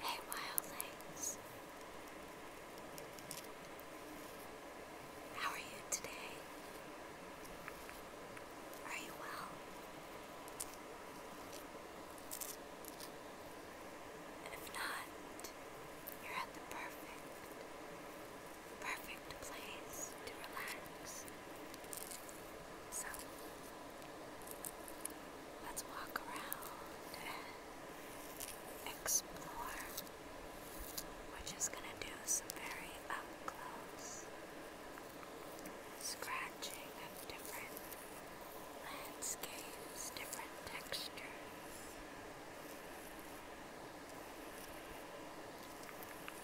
Hey, wildlings. How are you today? Are you well? If not, you're at the perfect, perfect place to relax. So, let's walk around and explore. We're just going to do some very up close scratching of different landscapes, different textures.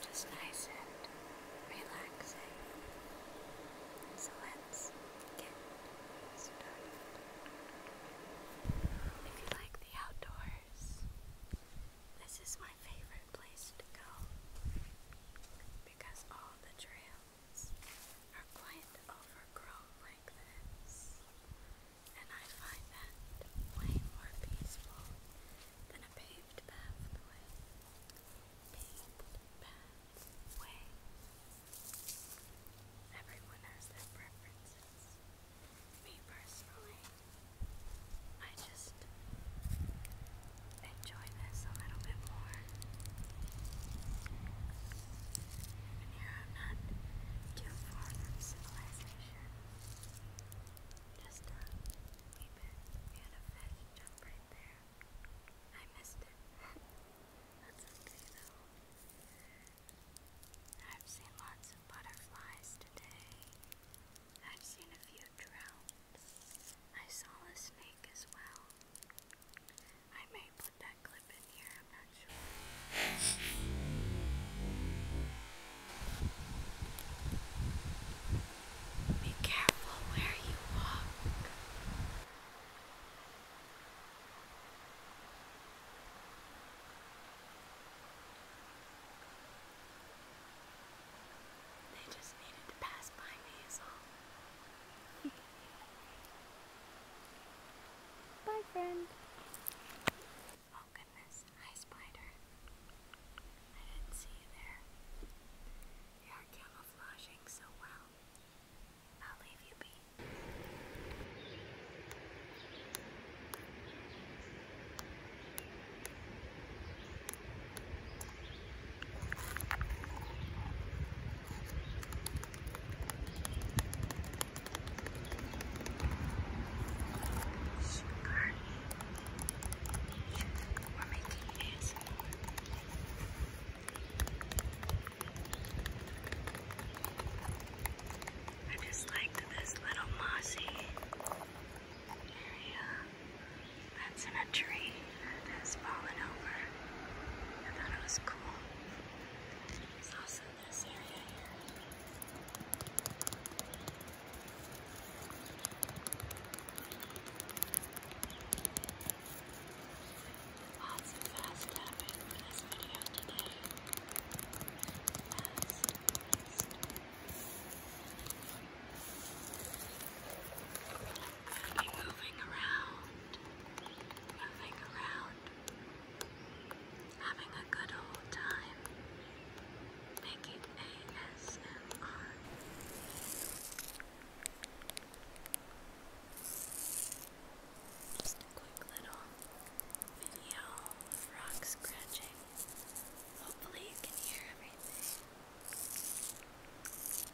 Just nice and relaxing. So let's get started. If you like the outdoors, this is my favorite place to go because all the trails are quite overgrown like this and I find that way more peaceful than a paved pathway. Paved pathway. Everyone has their preferences. Me personally, I just enjoy this a little bit more. I'm not too far from civilization. Just a wee bit. We had a fish jump right there. I missed it. That's okay though. I've seen lots of butterflies today. I've seen a few droughts. I saw a snake as well. I may put that clip in here, I'm not sure. Be careful where you walk. They just needed to pass by me, is Bye, friend. Oh, goodness. Hi, Spider. I didn't see you there. You are camouflaging so well. I'll leave you be. Sugar. Sugar. I just like this little mossy area that's in a tree that's fallen over. I thought it was cool. It's also in this area here. Lots of fast tapping for this video today. moving around, moving around having a good old time making ASMR. Just a quick little video of rock scratching. Hopefully, you can hear everything.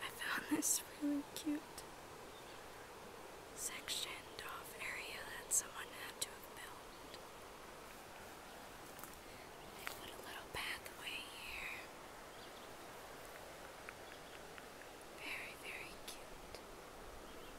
I found this really cute sectioned off area that someone had to have built. They put a little pathway here. Very, very cute.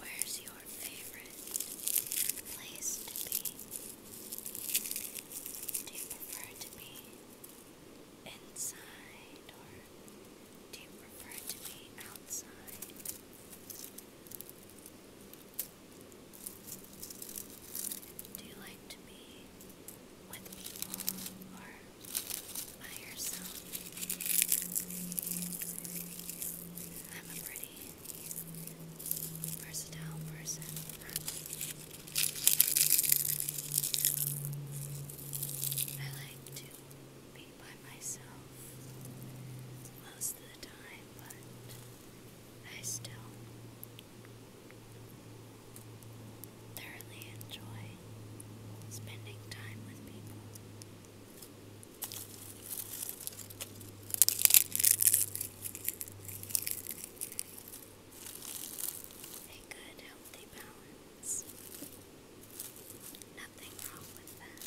Where's your your favorite place to be? Do you prefer to be inside or do you prefer to be outside? Do you like to be with people or by yourself? I'm a pretty versatile person. I like to be by myself most of the time, but I still thoroughly enjoy spending time with people. A good healthy balance. Nothing wrong with that.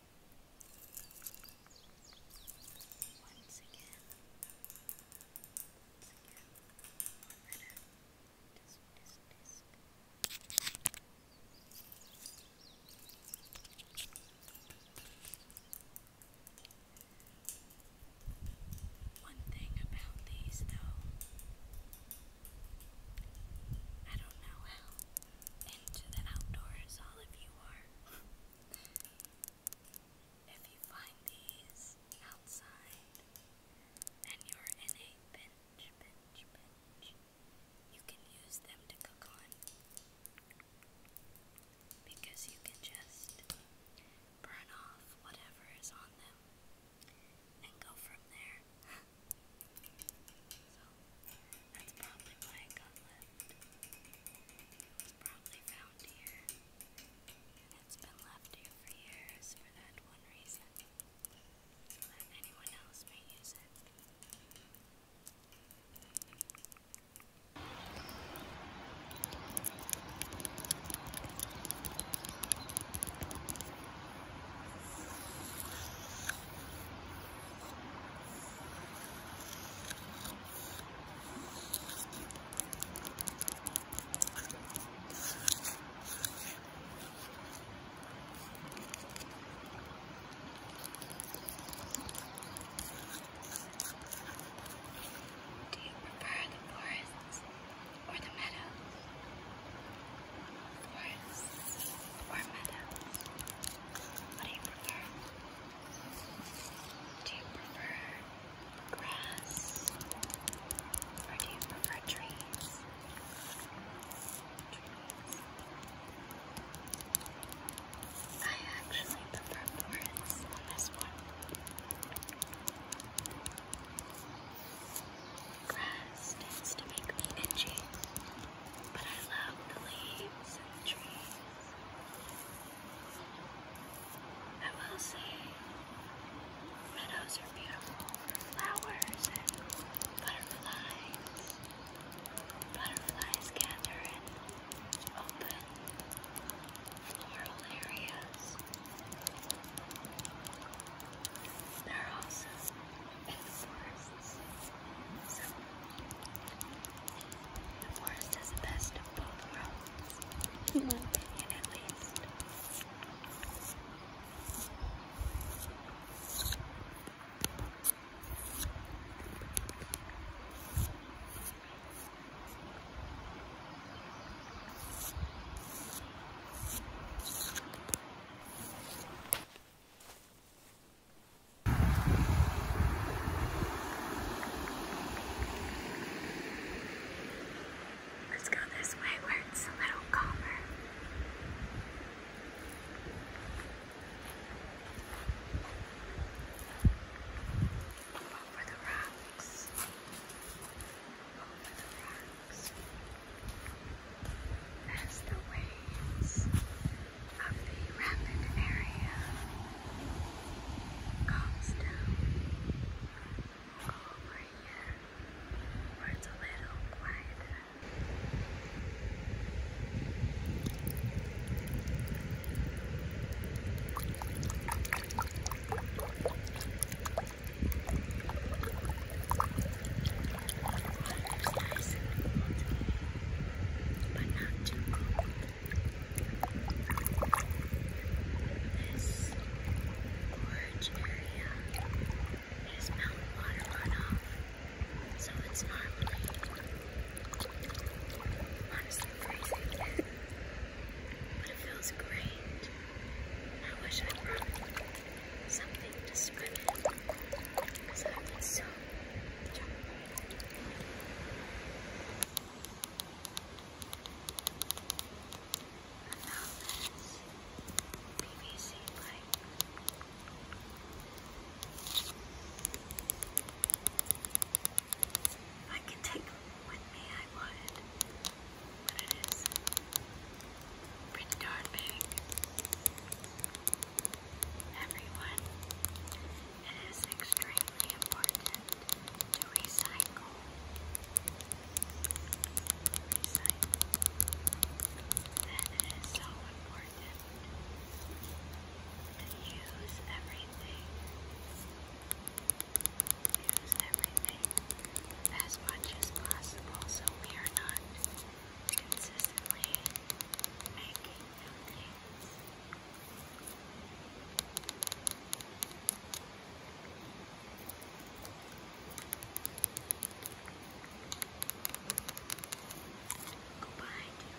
Once again, once again, one letter. Disc, disc, disc. One thing about these, though, I don't know how into the outdoors, all of you are. if you find these outside and you're in a bench, bench, bench, you can use them to cook on because you can just burn off whatever is on them and go from there. So that's probably why it got left. It was probably found here. And it's been left here for years for that one reason. So that anyone else may use it. Do you prefer the forests or the meadows? or madam? What do you prefer? Do you prefer grass or do you prefer Trees. I actually prefer forests on this one grass tends to make me itchy, but I love the leaves and the trees. I will say, meadows are beautiful for flowers and butterflies. Butterflies gather in open floral areas. There are also so, the forest has best of both worlds, in my opinion at least. Let's go this way where it's a little calmer. Over the rocks. Over the rocks as the waves of the rapid area calms down over here where it's a little quieter. Thank you nice and cold, but not too cold. This orange area is mountain water runoff, so it's normally honestly freezing, but it feels great. I wish I'd brought something to swim in I would so jump I found this PVC pipe. I could take with I would, but it is pretty darn Everyone, it is extremely important to recycle. Recycle. That is so important to use everything use everything as much as possible so we are not consistently making new things. Go behind you. you.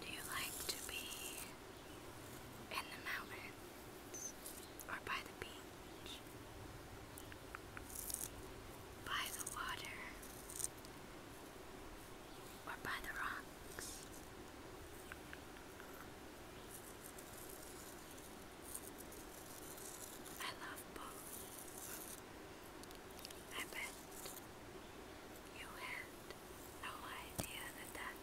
Do you like to be in the mountains or by the beach? By the water or by the rocks? I love both. I bet you have no idea that that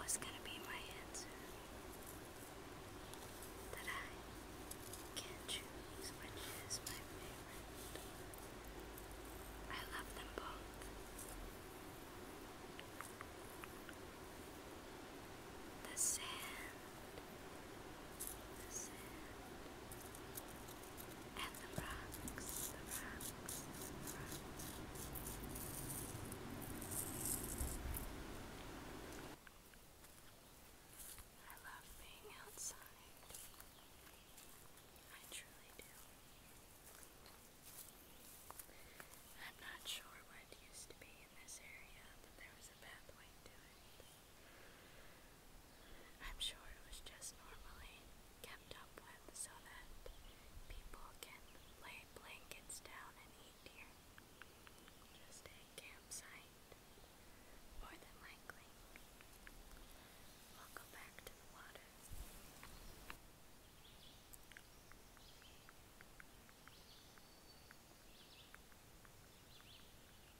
was gonna be my answer. That I can choose which is my favorite. I love them both. The sand. The sand and the rocks, the rocks, the rocks. I love being outside. I truly do. I'm not sure what used to be in this area, but there was a pathway to it. I'm sure it was just normally kept up with so that people can lay blankets down and eat here. Just a campsite, more than likely. We'll go back to the water.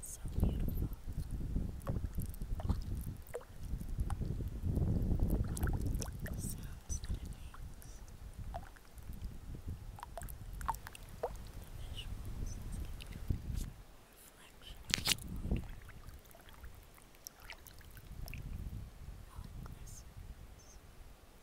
So beautiful. The sounds that it makes. The visuals it's giving. Reflection of the water. How it glistens. How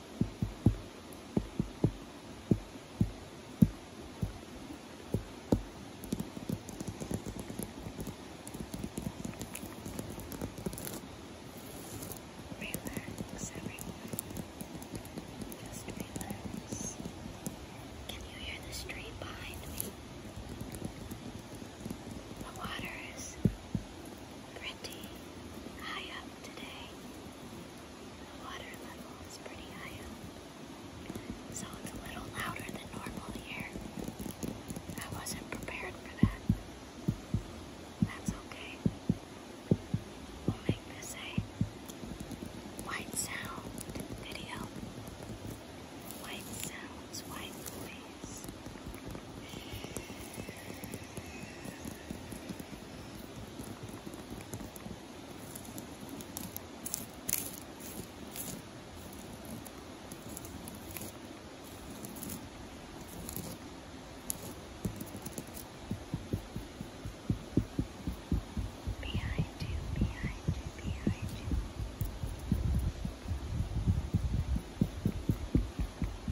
Relax, everyone. Just relax. Can you hear the stream behind me? The water is pretty high up today. The water level is pretty high so it's a little louder than normal here. I wasn't prepared for that. That's okay. We'll make this a white sound video. White sounds, white noise. Behind you, behind you, behind you.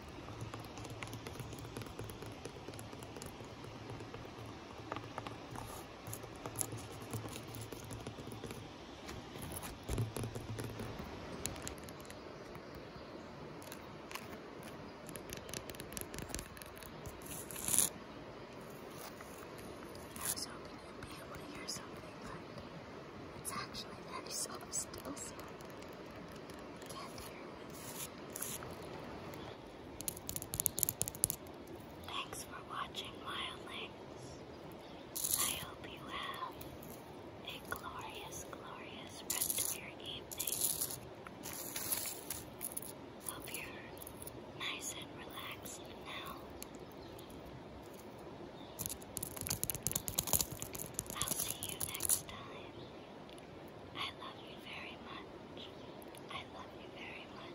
I was hoping you'd be able to hear something, but it's actually very soft, still Thanks for watching, wildlings. I hope you have a glorious, glorious rest of your evening. Hope you nice and relaxed now. I'll see you next time. I love you very much. I love you very much.